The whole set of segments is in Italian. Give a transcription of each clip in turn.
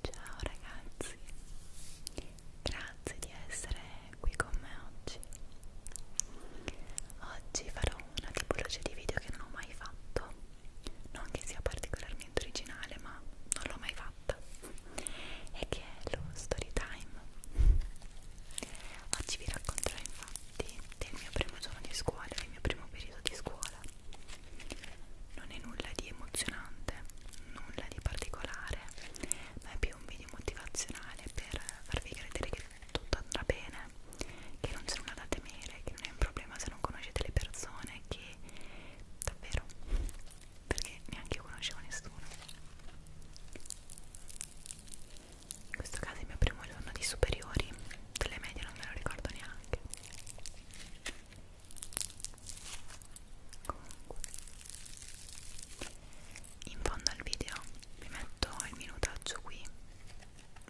Ciao ragazzi, grazie di essere qui con me oggi. Oggi farò una tipologia di video che non ho mai fatto non che sia particolarmente originale ma non l'ho mai fatta e che è lo story time oggi vi racconterò infatti del mio primo giorno di scuola del mio primo periodo di scuola non è nulla di emozionante nulla di particolare ma è più un video motivazionale per farvi credere che tutto andrà bene che non c'è nulla da temere, che non è un problema se non conoscete le persone, che davvero, perché neanche io conoscevo nessuno. In questo caso è il mio primo giorno di superiori, delle medie non me lo ricordo neanche. Comunque, in fondo al video vi metto il minutaggio qui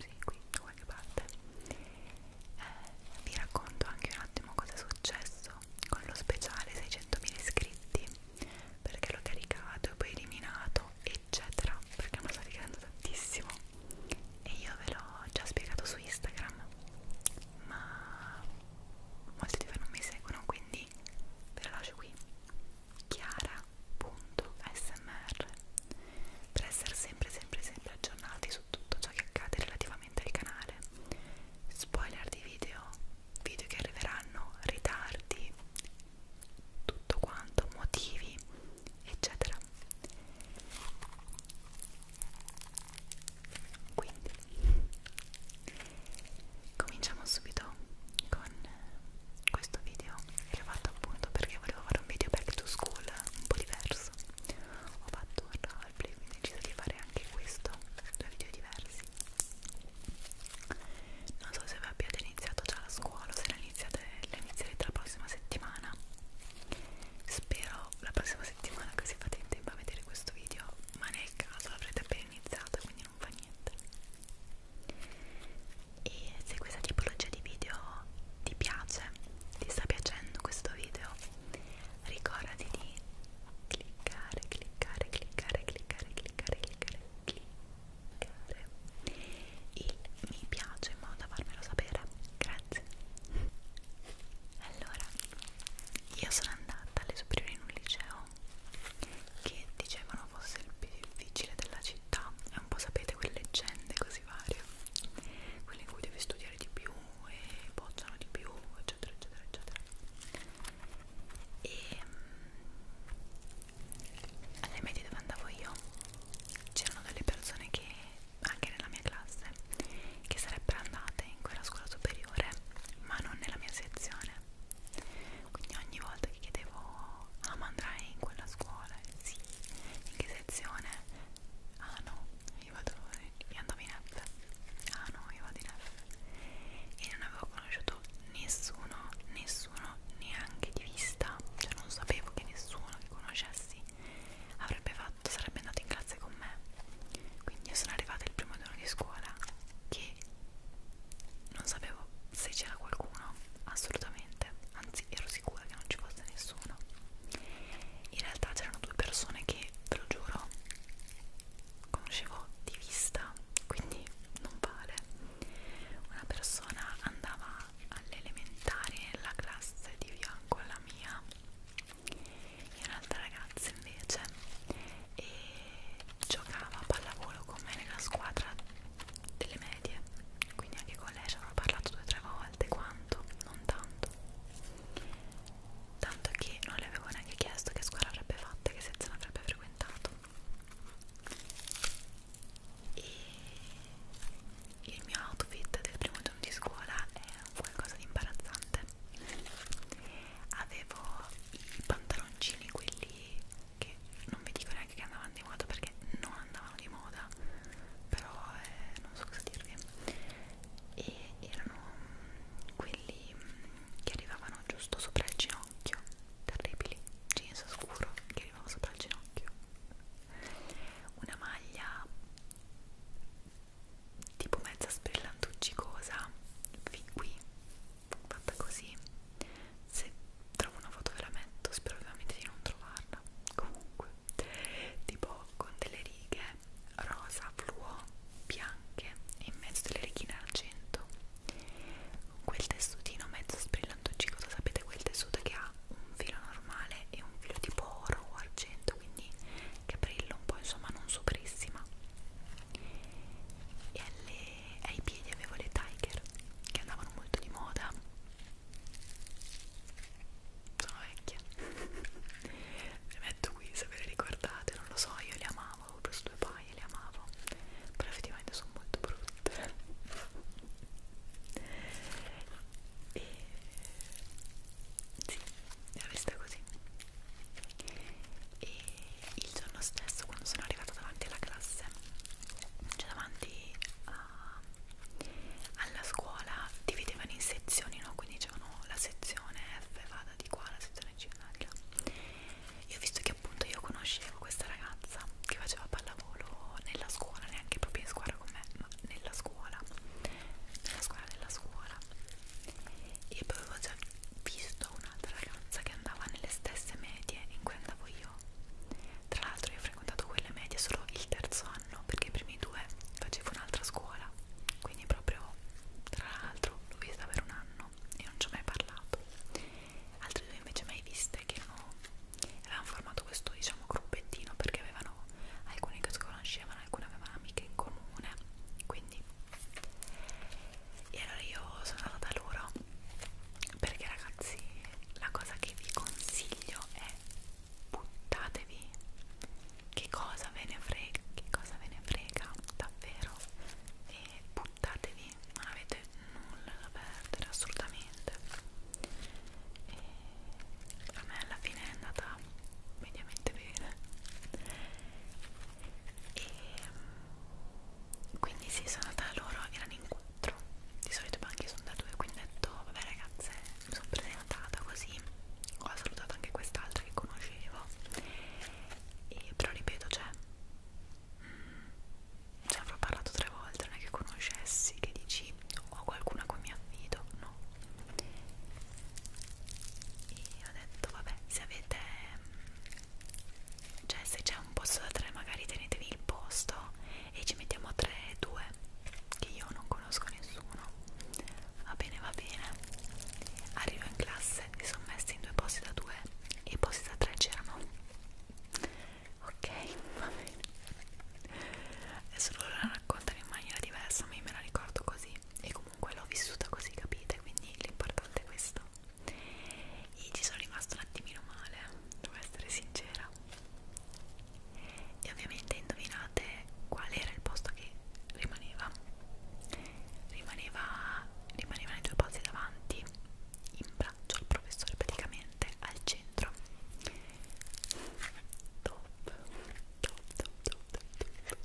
sì, qui da qualche parte eh, vi racconto anche un attimo cosa è successo con lo speciale 600.000 iscritti perché l'ho caricato e poi eliminato eccetera perché mi sta caricando tantissimo e io ve l'ho già spiegato su Instagram ma molti di voi non mi seguono quindi ve lo lascio qui chiara.smr per essere sempre sempre sempre aggiornati su tutto ciò che accade relativamente al canale spoiler di video, video che arriveranno, ritardi, tutto quanto, motivi, eccetera quindi cominciamo subito con questo video che ho fatto appunto perché volevo fare un video back to school un po' diverso diverso ho fatto un roleplay quindi ho deciso di fare anche questo due video diversi non so se vi abbiate iniziato già la scuola o se la iniziate, la inizierete la prossima settimana spero la prossima settimana così fate in tempo a vedere questo video ma nel caso l'avrete appena iniziato quindi non fa niente e se questa tipologia di video ti piace ti sta piacendo questo video ricordati di cliccare, cliccare, cliccare, cliccare, cliccare, cliccare, cliccare il mi piace in modo da farmelo sapere, grazie allora io sono andata alle superiori in un liceo che dicevano fosse il più difficile della città e un po' sapete quelle leggende così così varie quelle in cui devi studiare di più e bocciano di più eccetera eccetera eccetera e ehm, alle medie dove andavo io c'erano delle persone che anche nella mia classe che sarebbero andate in quella scuola superiore ma non nella mia sezione quindi ogni volta che chiedevo ah ma andrai in quella scuola? sì in che sezione? ah no, io vado io andavo in F ah no, io vado in F e non avevo conosciuto nessuno, nessuno neanche di vista cioè non sapevo che nessuno che conoscessi avrebbe fatto, sarebbe andato in classe con me quindi io sono arrivata il primo giorno di scuola che non sapevo se c'era qualcuno assolutamente anzi ero sicura che non ci fosse nessuno in realtà c'erano due persone che ve lo giuro conoscevo di vista quindi non vale una persona andava all'elementare nella classe di fianco alla mia e un'altra ragazza invece e giocava a pallavolo con me nella squadra delle medie quindi anche con lei ci avrò parlato due o tre volte quanto non tanto tanto che non le avevo neanche chiesto che scuola avrebbe fatto e che sezione avrebbe frequentato e il mio outfit del primo giorno di scuola è qualcosa di imbarazzante avevo i pantaloncini quelli che non vi dico neanche che andavano di moda perché non andavano di moda però eh, non so cosa dirvi e erano quelli che arrivavano giusto sopra il ginocchio terribili, jeans scuro che arrivava sopra il ginocchio una maglia tipo mezza sprillantuccicosa fin qui fatta così se trovo una foto ve la metto spero ovviamente di non trovarla comunque tipo con delle righe rosa, fluo, bianche e in mezzo delle righine argento quel tessutino mezzo sbrillantuccicoso sapete quel tessuto che ha un filo normale e un filo tipo oro o argento quindi che brilla un po' insomma non superissima e alle, ai piedi avevo le tiger che andavano molto di moda sono vecchia le metto qui se ve le ricordate non lo so io le amavo avevo preso due paia e le amavo però effettivamente sono molto brutte e sì l'ho vista così e il giorno stesso quando sono arrivata davanti alla classe cioè davanti a alla scuola dividevano in sezioni, no? Quindi dicevano la sezione F vada di qua, la sezione C vada di là. Io ho visto che appunto io conoscevo questa ragazza che faceva pallavolo nella scuola, neanche proprio in squadra con me, ma nella scuola, nella scuola della scuola. E poi avevo già visto un'altra ragazza che andava nelle stesse medie in cui andavo io. Tra l'altro io ho frequentato quelle medie solo il terzo anno perché i primi due facevo un'altra scuola quindi proprio tra l'altro l'ho vista per un anno e non ci ho mai parlato altre due invece mai viste che erano, avevano formato questo diciamo gruppettino perché avevano alcuni che si conoscevano alcune avevano amiche in comune quindi e allora io sono andata da loro perché ragazzi la cosa che vi consiglio è buttatevi che cosa ve ne frega, che cosa ve ne frega davvero e buttatevi, non avete nulla da perdere assolutamente e a me alla fine è andata mediamente bene e mm, quindi sì, sono andata loro, erano in quattro di solito i banchi sono da due, quindi ho detto vabbè ragazze mi sono presentata così ho salutato anche quest'altra che conoscevo e, però ripeto cioè mh, mm, ci avrò parlato tre volte non è che conoscessi che dici ho qualcuna con mi affido no e ho detto vabbè se avete mm, cioè se c'è un posto da tre magari tenetevi il posto e ci mettiamo tre due che io non conosco nessuno Va bene, va bene. Arrivo in classe, si sono messi in due posti da due e i posti da tre c'erano. Ok, va bene. Adesso loro la raccontano in maniera diversa, ma io me la ricordo così. E comunque l'ho vissuta così, capite? Quindi l'importante è questo. Io ci sono rimasto un attimino male, devo essere sincera e ovviamente indovinate qual era il posto che rimaneva rimaneva rimanevano i due posti davanti in braccio al professore praticamente al centro top top top top, top.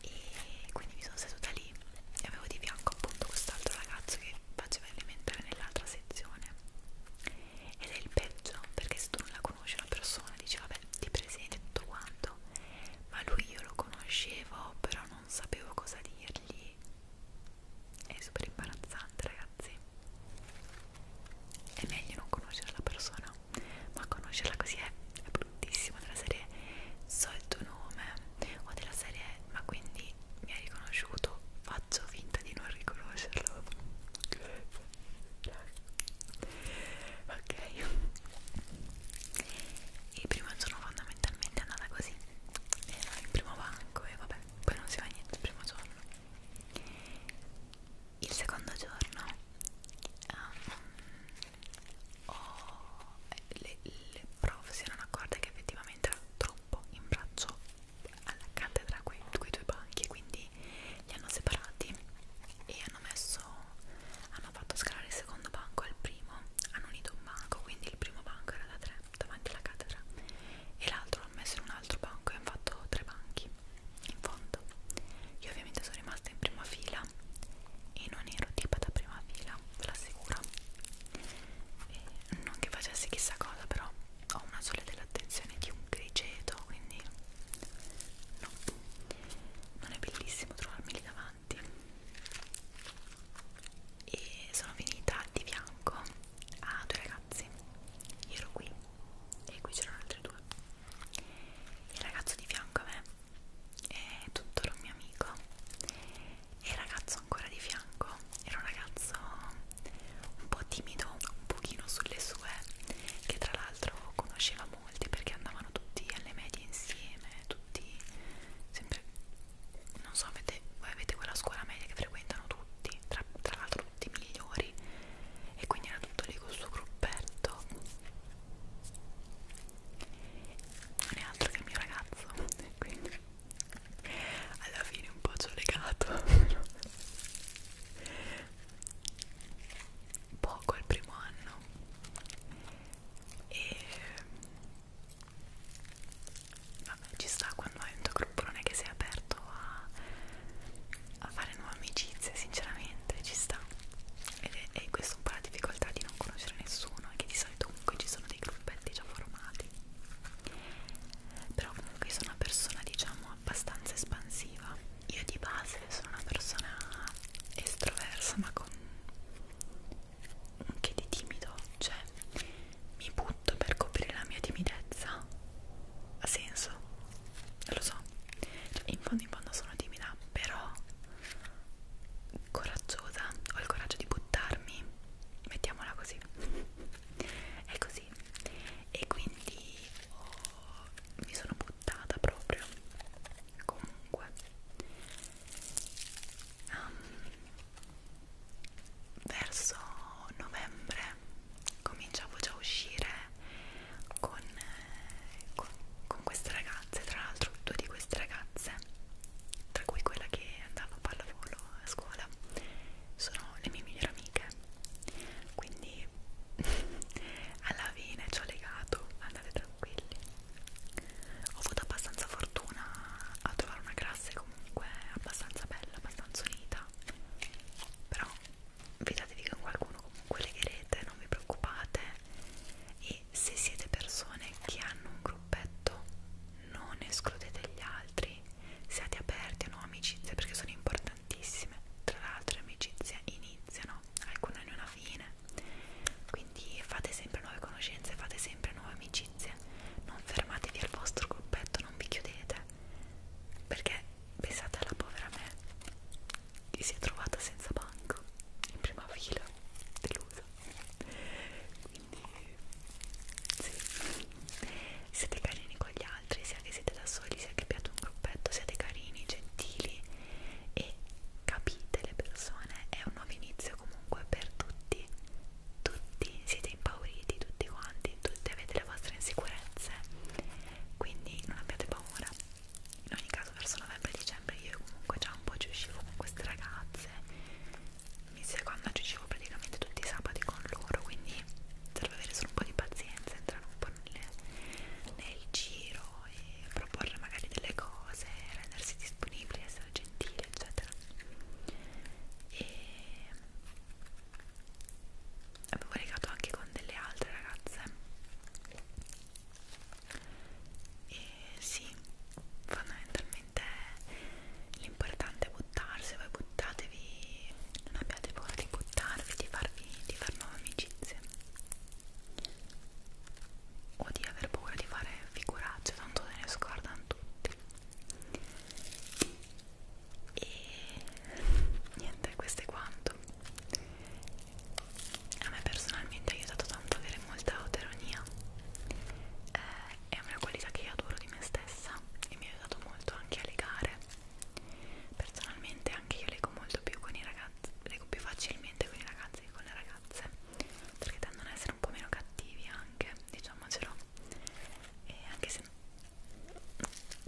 e quindi mi sono seduta lì e avevo di fianco appunto quest'altro ragazzo che faceva elementare nell'altra sezione ed è il peggio perché se tu non la conosci una persona dici vabbè ti presenti tutto quanto ma lui io lo conoscevo però non sapevo cosa dirgli è super imbarazzante ragazzi è meglio non conoscere la persona ma conoscerla così è, è bruttissimo della serie so il tuo nome o della serie ma quindi mi hai riconosciuto faccio finta di non riconoscerlo ok il primo giorno fondamentalmente è andata così era il primo banco e vabbè poi non si fa niente il primo giorno il secondo giorno um, oh, le, le prof si erano accorte che effettivamente era troppo in braccio alla cattedra quei, quei due banchi quindi quindi li hanno separati e hanno messo hanno fatto scalare il secondo banco al primo hanno unito un banco quindi il primo banco era da tre davanti alla cattedra e l'altro l'hanno messo in un altro banco e hanno fatto tre banchi in fondo io ovviamente sono rimasta in prima fila e non ero tipo da prima fila ve l'assicuro non che facessi chissà cosa però ho una sola dell'attenzione di un grigeto quindi no non è bellissimo trovarmi lì davanti e sono finita di fianco a due ragazzi io ero qui e qui c'erano altri due il ragazzo di fianco a me è tuttora un mio amico e il ragazzo ancora di fianco era un ragazzo un po' timido un pochino sulle sue che tra l'altro l'altro conosceva molti perché andavano tutti alle medie insieme, tutti sempre non so, avete, voi avete quella scuola media che frequentano tutti, tra, tra l'altro tutti i migliori e quindi era tutto lì col suo gruppetto non è altro che il mio ragazzo quindi alla fine un po' ci ho legato poco al primo anno e vabbè ci sta quando hai un tuo gruppo non è che sei aperto a, a fare nuove amicizie sinceramente ci sta ed è, è questa un po' la difficoltà di non conoscere nessuno è che di solito comunque ci sono dei gruppetti già formati però comunque sono una persona diciamo abbastanza espansiva io di base essere solo una persona estroversa ma con un che di timido, cioè mi butto per coprire la mia timidezza. Ha senso? Lo so. Cioè, in fondo in fondo sono timida, però coraggiosa, ho il coraggio di buttarmi, mettiamola così. È così. E quindi oh, mi sono buttata buttata proprio comunque um, verso novembre cominciavo già a uscire con, con, con queste ragazze tra l'altro due di queste ragazze tra cui quella che andava a pallavolo a scuola sono le mie migliori amiche quindi alla fine ci ho legato andate tranquilli ho avuto abbastanza fortuna a trovare una classe comunque abbastanza bella abbastanza unita però fidatevi che con qualcuno comunque legherete non vi preoccupate e se siete persone che hanno un gruppetto non escludete gli altri siate aperti a nuove amicizie perché sono importanti tantissime tra l'altro amicizie iniziano alcune hanno una fine quindi fate sempre nuove conoscenze fate sempre nuove amicizie non fermatevi al vostro gruppetto non vi chiudete perché pensate alla povera me che si è trovata senza banco in prima fila delusa quindi sì siete carini con gli altri, sia che siete da soli, sia che abbiate un gruppetto, siate carini, gentili e capite le persone, è un nuovo inizio comunque per tutti, tutti siete impauriti, tutti quanti, tutti avete le vostre insicurezze, quindi non abbiate paura. In ogni caso verso novembre e dicembre io comunque già un po' ci uscivo con queste ragazze, mi seconda ci uscivo praticamente tutti i sabati con loro, quindi serve avere solo un po' di pazienza, entrare un po' nel, nel giro e proporre magari delle cose, rendersi disponibili, essere gentili, eccetera. E avevo legato anche con delle altre ragazze. E sì, fondamentalmente l'importante è buttarsi, voi buttatevi, non abbiate paura di buttarvi, di, farvi, di far nuove amicizie o di aver paura di fare figuracce, tanto se ne scordano tutti. E niente, questo è quanto. A me personalmente ha aiutato tanto avere molta autoironia. Eh, è una qualità che io adoro di me stessa e mi ha aiutato molto anche a legare personalmente anche io leggo molto più con i ragazzi leggo più facilmente con i ragazzi che con le ragazze perché tendono ad essere un po' meno cattivi anche diciamocelo e anche se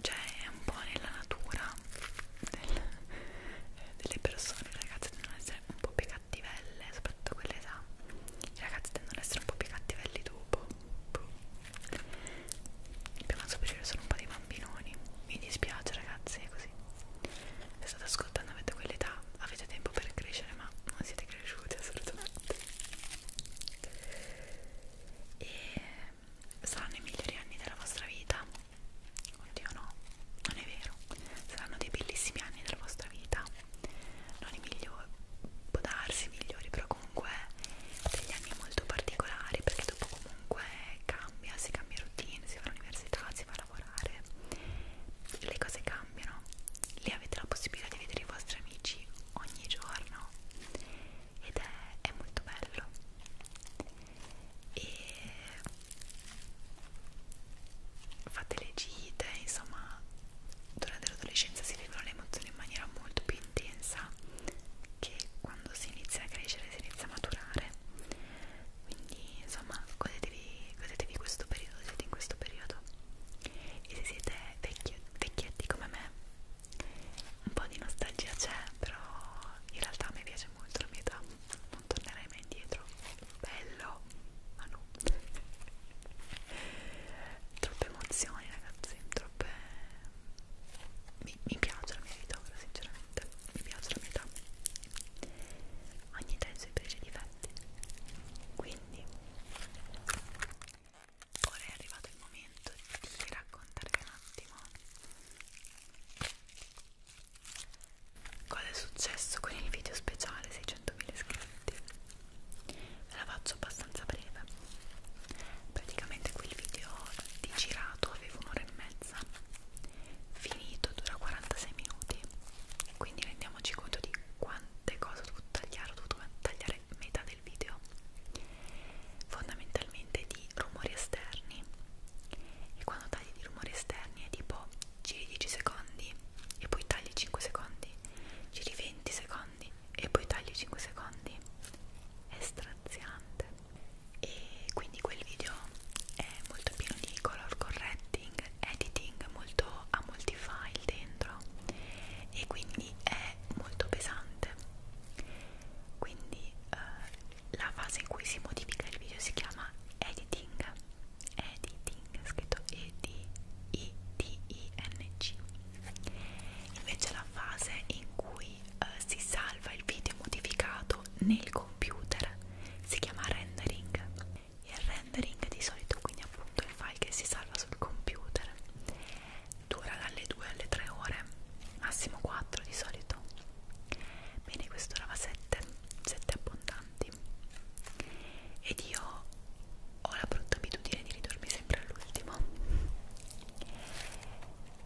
cioè è un po' nella natura del, delle persone le ragazze tendono ad essere un po' più cattivelle soprattutto quell'età i ragazzi tendono ad essere un po' più cattivelli dopo Puh. Boh. Dobbiamo scoprire solo un po' di bambinoni. Mi dispiace ragazzi, è così. Se state ascoltando avete quell'età, avete tempo per crescere, ma non siete cresciuti assolutamente. E saranno i migliori anni della vostra vita. Oddio no, non è vero. Saranno dei bellissimi anni della vostra vita. Non i migliori, può darsi i migliori, però comunque degli anni molto particolari perché dopo comunque cambia, si cambia routine, si va all'università, si va a lavorare, le cose cambiano, lì avete la possibilità di vedere i vostri amici ogni giorno ed è, è molto bello e fate le gite, insomma durante l'adolescenza si vivono le emozioni in maniera molto più intensa che quando si inizia a crescere, si inizia a maturare. Quindi, insomma, godetevi, godetevi questo periodo, siete in questo periodo. E se siete vecchi, vecchietti come me, un po' di nostalgia c'è, però in realtà mi piace molto la mia età, non tornerai mai indietro. Bello, ma no. Troppe emozioni, ragazzi, troppe mi, mi piace la mia vita ora sinceramente mi piace la mia età ogni età ha i suoi pregi difetti quindi ora è arrivato il momento di raccontarvi un attimo cosa è successo con il video speciale 600.000 iscritti ve la faccio abbastanza breve praticamente quel video di girato avevo un'ora e mezza finito dura 46 minuti quindi rendiamoci conto di quante cose ho dovuto tagliare ho dovuto tagliare metà del video fondamentalmente di rumori esterni e quando tagli di rumori esterni è tipo giri 10 secondi e poi tagli 5 secondi giri 20 secondi e poi tagli 5 secondi è straziante e quindi quel video è molto pieno di color correcting, editing, molto, ha molti file dentro e quindi è molto pesante quindi eh, la fase in cui si modifica il video si chiama editing editing, scritto E-D-I-T-I-N-G invece la fase in cui eh, si salva il video modificato fatto nel computer si chiama rendering il rendering di solito quindi appunto il file che si salva sul computer dura dalle 2 alle 3 ore massimo 4 di solito bene questo durava 7 7 abbondanti ed io ho la brutta abitudine di ridormi sempre all'ultimo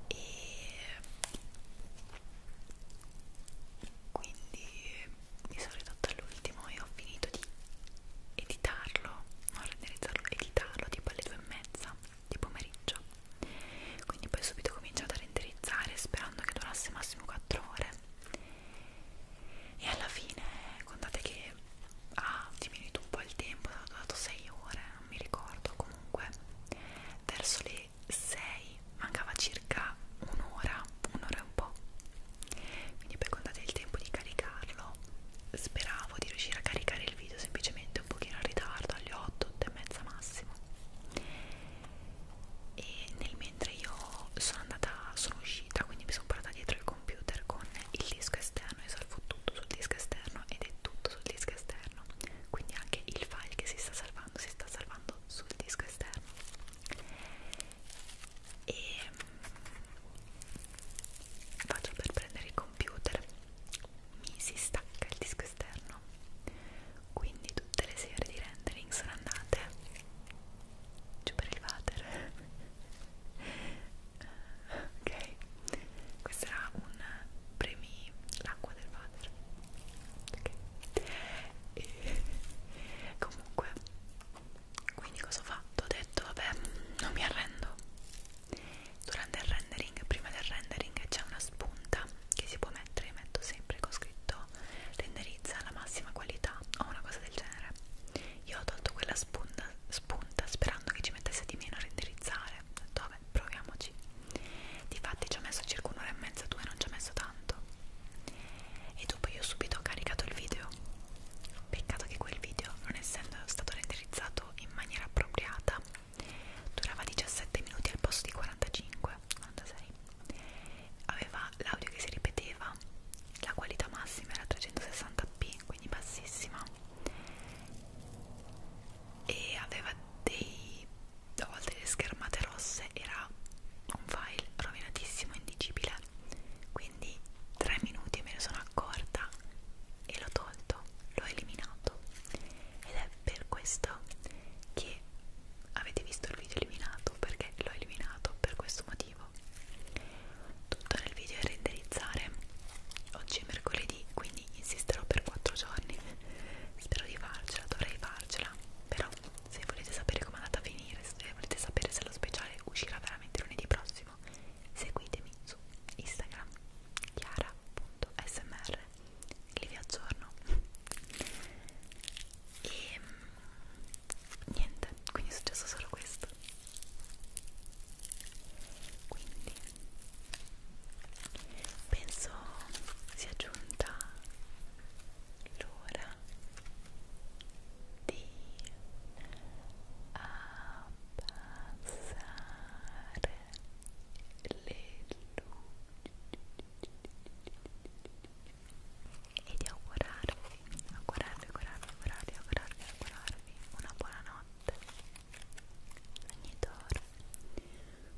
e quindi di solito all'ultimo io ho finito di editarlo non renderizzarlo, editarlo tipo alle due e mezza di pomeriggio quindi poi subito ho cominciato a renderizzare sperando che durasse massimo 4 ore e alla fine contate che ha diminuito un po' il tempo, ha dato 6 ore non mi ricordo comunque verso le 6 mancava circa un'ora, un'ora e un po'. Quindi poi contate il tempo di caricarlo. Speravo di riuscire a caricare il video semplicemente un pochino in ritardo, alle 8, 8 e mezza massimo. E nel mentre io sono andata, sono uscita, quindi mi sono portata dietro il computer con il disco esterno e salvo tutto sul disco esterno ed è tutto sul disco esterno. Quindi anche il file che si sta salvando si sta salvando trovando sul disco esterno e mm, faccio per prendere il computer mi si stacca il disco esterno quindi tutte le serie di rendering sono andate giù per il water ok questo era un premi l'acqua del water ok e comunque quindi cosa ho fatto? ho detto vabbè non mi arrendo durante il rendering prima del rendering c'è una spunta che si può mettere metto sempre con scritto renderizza alla massima qualità o una cosa del genere io ho tolto quella spunta, spunta sperando che ci mettesse di meno a renderizzare ho detto vabbè proviamoci difatti ci ho messo circa un'ora e mezza due non ci ho messo tanto e dopo io subito ho caricato il video peccato che quel video non essendo stato renderizzato in maniera appropriata durava 17 minuti al posto di 45 46 aveva l'audio che si ripeteva la qualità massima era 360p quindi bassissima e aveva dei a volte le schermate rosse era un file rovinatissimo, indigibile quindi tre minuti me ne sono accorta e l'ho tolto, l'ho eliminato ed è per questo che avete visto il video eliminato perché l'ho eliminato per questo motivo tutto nel video è renderizzare oggi è mercoledì quindi insisterò per 4 giorni spero di farcela, dovrei farcela dirla però se volete sapere com'è andata a finire se volete sapere se lo speciale uscirà veramente lunedì prossimo seguitemi su Instagram chiara.smr che vi aggiorno e mm, niente quindi è successo solo questo quindi penso sia giunta l'ora di abbassare le luci e di augurarvi, augurarvi, augurarvi, augurarvi, augurarvi, augurarvi una buona notte ogni d'oro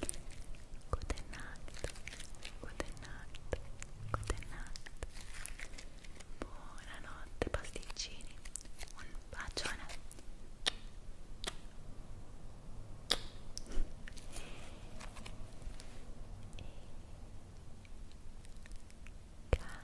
Good night, good night, good night. Buonanotte pasticcini, un bacione. E calispera.